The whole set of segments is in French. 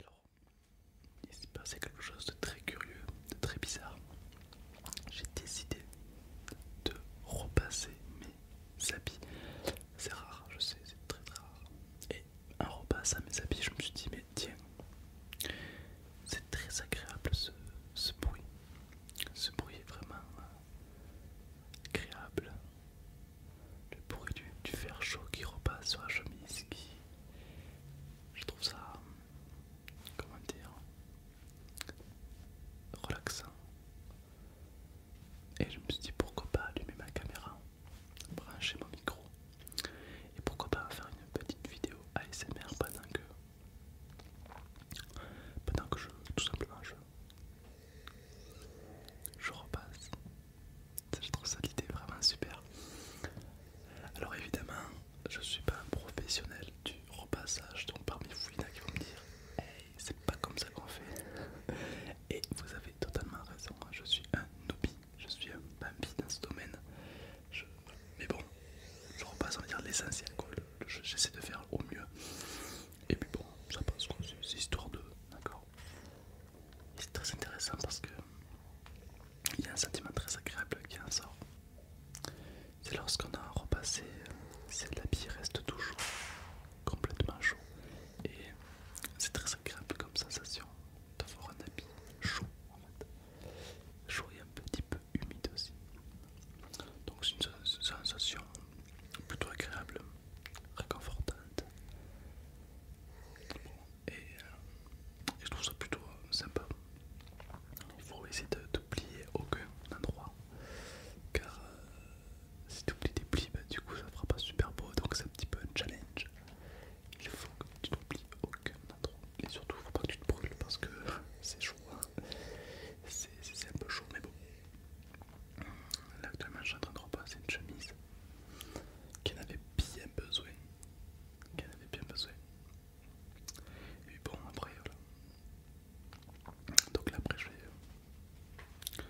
Alors, il s'est passé quelque chose de très curieux, de très bizarre. J'ai décidé de repasser mes habits. C'est rare, je sais, c'est très rare. Et en repassant mes habits, je me suis dit, mais tiens, c'est très agréable ce, bruit. Ce bruit est vraiment euh, agréable. Le bruit du, du fer chaud qui repasse sur la chemise, qui, je trouve ça, comment dire, relaxant. Et je me suis dit pourquoi pas allumer ma caméra, brancher mon micro et pourquoi pas faire une petite vidéo ASMR pendant que, pendant que je, tout simplement, je, je repasse je trouve ça l'idée vraiment super. Alors évidemment, je suis pas un professionnel du repassage, donc parmi vous il y en a qui vont me dire Hey, c'est pas comme ça qu'on fait. Et vous avez totalement raison, hein, je suis un noobie, je suis un bambi dans ce domaine. Mais bon, je repasse, l'essentiel, j'essaie de faire au mieux. Et puis bon, ça passe, c'est histoire de, d'accord c'est très intéressant parce que il y a un sentiment très agréable qui en sort. C'est lorsqu'on a un repassé, si l'habit reste toujours complètement chaud. Et c'est très agréable comme sensation d'avoir un habit chaud Chaud et un petit peu humide aussi. Donc c'est une sensation plutôt agréable, réconfortante. Euh, et, je trouve ça plutôt euh, sympa. Il faut essayer de t'oublier aucun endroit car euh, si tu oublies des plis, ben, du coup ça fera pas super beau donc c'est un petit peu un challenge. Il faut que tu n'oublies aucun endroit et surtout il faut pas que tu te brûles parce que c'est chaud, hein. c'est un peu chaud mais bon. Là actuellement je suis en train de repasser une chemise qu'elle avait bien besoin. Qu'elle avait bien besoin. Et bon, après, voilà. Donc là, après, je vais euh,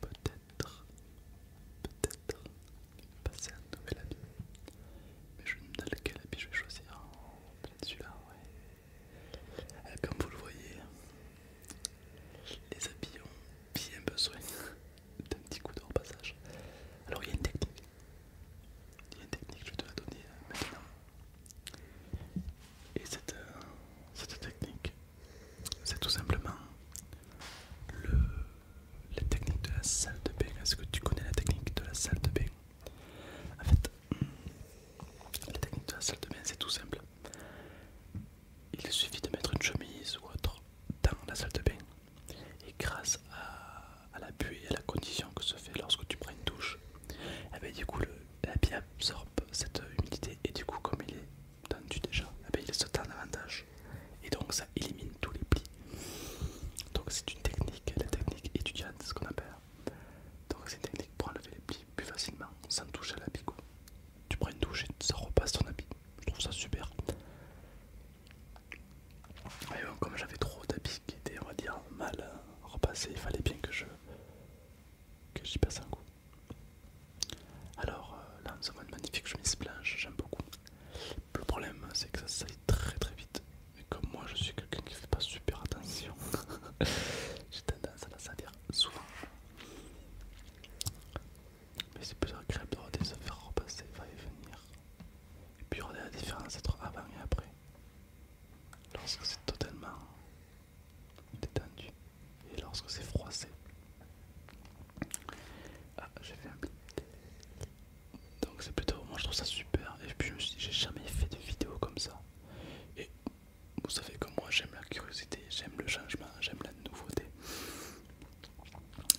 peut-être, peut-être passer à un nouvel habit. Mais je me pas quel habit je vais choisir. Ah, peut-être celui-là, ouais. Ah, comme vous le voyez, les habits ont bien besoin d'un petit coup de repassage. Alors il y a une technique. Il y a une technique, je te la donner euh, maintenant. Et euh, cette, technique, c'est tout simplement le, la technique de la salle de bain. Est-ce que tu connais la technique de la salle de bain En fait, hmm, la technique de la salle de bain, c'est tout simple. Il suffit de mettre une chemise ou autre dans la salle de bain et grâce à, la buée et à la condition que se fait lorsque tu prends une douche, eh ben, du coup le, la eh absorbe cette humidité et du coup comme il est tendu déjà, elle eh ben, il se tend davantage et donc ça élimine tous les plis. Donc c'est une technique, la technique étudiante, ce qu'on appelle. Donc c'est une technique pour enlever les plis plus facilement sans toucher à la picot tu prends une douche et ça repasse ton habit. Je trouve ça super. Et comme j'avais trop d'habits qui étaient, on va dire, mal euh, repassés, il fallait bien que je que j'y passe un coup. Alors euh, là, ça avons une magnifique chemise blanche, j'aime beaucoup. Le problème, c'est que ça salit très très vite. mais comme moi, je suis quelqu'un qui fait pas super attention, j'ai tendance à la salir souvent. Mais c'est plus agréable de se faire repasser, va et venir. Et puis regarder la différence entre avant et après. Lorsque c'est totalement détendu et lorsque c'est froissé. Ah, j'ai fait un Donc c'est plutôt, moi je trouve ça super. Et puis je me suis dit, j'ai jamais fait de vidéo comme ça. Et vous savez que moi j'aime la curiosité, j'aime le changement, j'aime la nouveauté.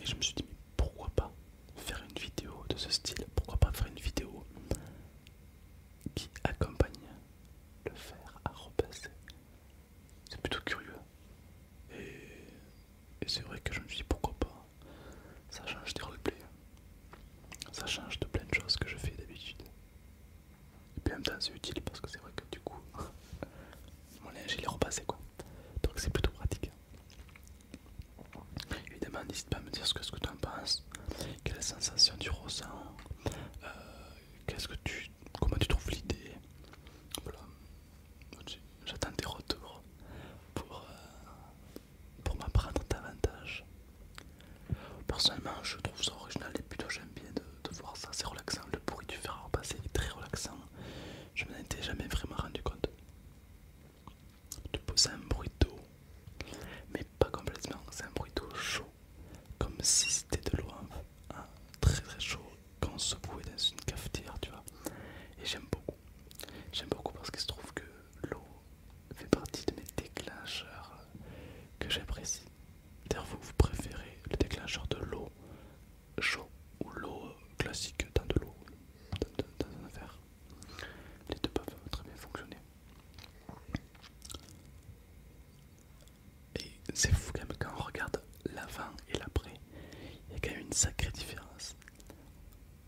Et je me suis dit, mais pourquoi pas faire une vidéo de ce style Pourquoi pas faire une vidéo qui accompagne le faire à repasser C'est plutôt curieux. Et, c'est vrai que je me suis dit, pourquoi pas Ça change des replays. Ça change de plein de choses que je fais d'habitude. Et puis en même temps c'est utile parce que c'est vrai que du coup mon linge il est repassé quoi. Donc c'est plutôt pratique. Évidemment n'hésite pas à me dire ce que, tu en penses, quelle sensation tu ressens, euh, qu'est-ce que tu. comment tu trouves l'idée. Voilà. J'attends tes retours pour, euh, pour m'apprendre davantage. Personnellement je trouve ça original et plutôt j'aime bien de voir ça, c'est relaxant. Le bruit du fer à repasser est très relaxant. Je m'en étais jamais vraiment rendu compte. Tu poses un bruit d'eau, mais pas complètement, c'est un bruit d'eau chaud, comme si c'était de l'eau hein, très très chaud qu'on se boue dans une cafetière, tu vois. Et j'aime beaucoup, j'aime beaucoup parce qu'il se trouve que l'eau fait partie de mes déclencheurs euh, que j'apprécie D'ailleurs, vous, vous préférez le déclencheur de l'eau chaud ou l'eau euh, classique dans de l'eau, dans, un verre. Les deux peuvent très bien fonctionner. Et c'est fou quand même, quand on regarde l'avant et l'après, il y a quand même une sacrée différence.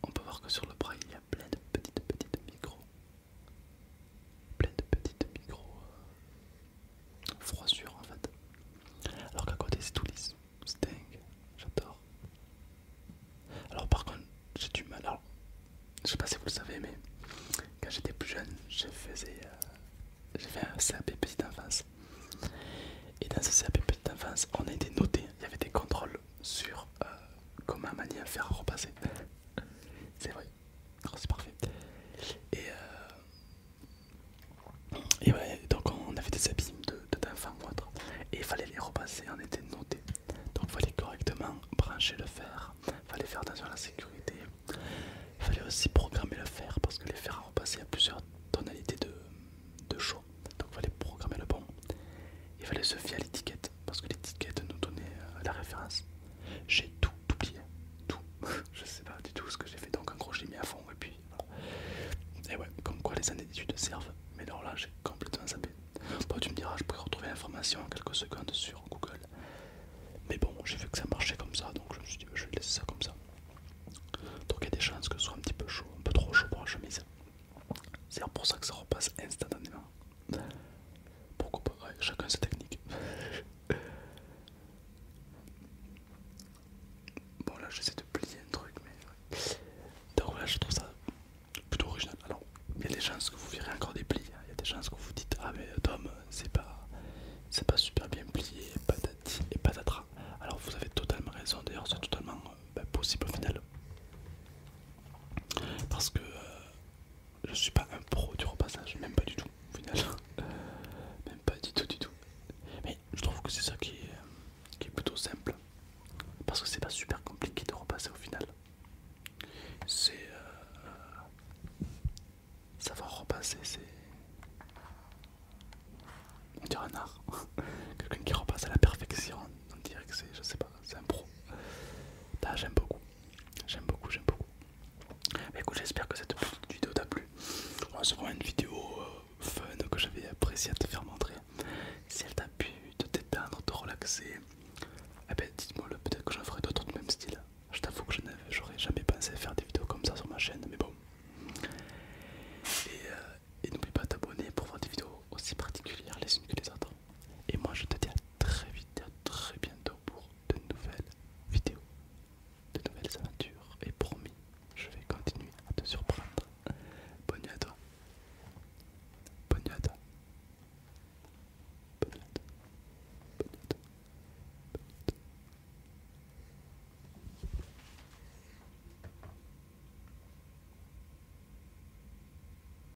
On peut voir que sur le bras, il y a plein de petites petites micros plein de petites micro euh, froissures en fait. Alors qu'à côté c'est tout lisse, c'est j'adore. Alors par contre j'ai du mal, alors je sais pas si vous le savez mais quand j'étais plus jeune euh, j'ai faisais... fait un CAP petite enfance et dans ce CAP petite enfance on a été noté, il y avait des contrôles sur euh, comment manier à faire repasser. C'est vrai. Ah, c'est parfait. Et, euh, donc on avait des abîmes de d'enfants moindres. Et il fallait les repasser en était noté. Donc il fallait correctement brancher le fer. Il fallait faire attention à la sécurité. Il fallait aussi programmer le fer parce que les fer à repasser à plusieurs tonalités de, de chaud. Donc il fallait programmer le bon. Il fallait se fier à l'étiquette parce que l'étiquette nous donnait euh, la référence. J'ai tout oublié, tout. je sais pas du tout ce que j'ai fait, donc en gros je mis à fond et puis Et ouais, comme quoi les années d'études servent, mais alors là j'ai complètement zappé. Bon, tu me diras, je pourrais retrouver l'information en quelques secondes sur Google. Mais bon, j'ai vu que ça marchait comme ça, donc je me suis dit, je vais laisser ça comme ça. Donc il y a des chances que ce soit un petit peu chaud, un peu trop chaud pour la chemise. C'est pour ça que ça repasse instantanément. Pourquoi pas Chacun sa technique. bon là j'essaie de plier un truc mais... Donc là je trouve ça plutôt original. Alors il y a des chances que vous verrez encore des plis. Hein. Il y a des chances que vous dites ah mais Tom c'est pas... C'est pas super bien plié, patati et patatra. Alors vous avez totalement raison, d'ailleurs c'est totalement euh, bah, possible au final. Parce que euh, je suis pas un pro du repassage, même pas du tout au final. même pas du tout du tout. Mais je trouve que c'est ça qui est, plutôt simple. Parce que c'est pas super compliqué de repasser au final. C'est euh, savoir repasser, c'est on dirait un art. Quelqu'un qui repasse à la perfection, on dirait que c'est, je sais pas, c'est un pro. Bah, j'aime beaucoup. J'aime beaucoup, j'aime beaucoup. Mais écoute, j'espère que cette petite vidéo t'a plu. C'est vraiment une vidéo euh, fun que j'avais apprécié à te faire montrer. Si elle t'a pu te détendre, te relaxer, eh ben, dites-moi le peut-être que j'en ferai d'autres de même style. Je t'avoue que je n'aurais jamais pensé à faire des vidéos comme ça sur ma chaîne, mais bon. Et, euh, et n'oublie pas de t'abonner pour voir des vidéos aussi particulières les unes que les autres. Et moi je te dis à très vite, à très bientôt pour de nouvelles vidéos, de nouvelles aventures. Et promis, je vais continuer à te surprendre. Bonne à toi. Bonne à toi. Bonne Bonne nuit à toi. Bonne nuit à toi.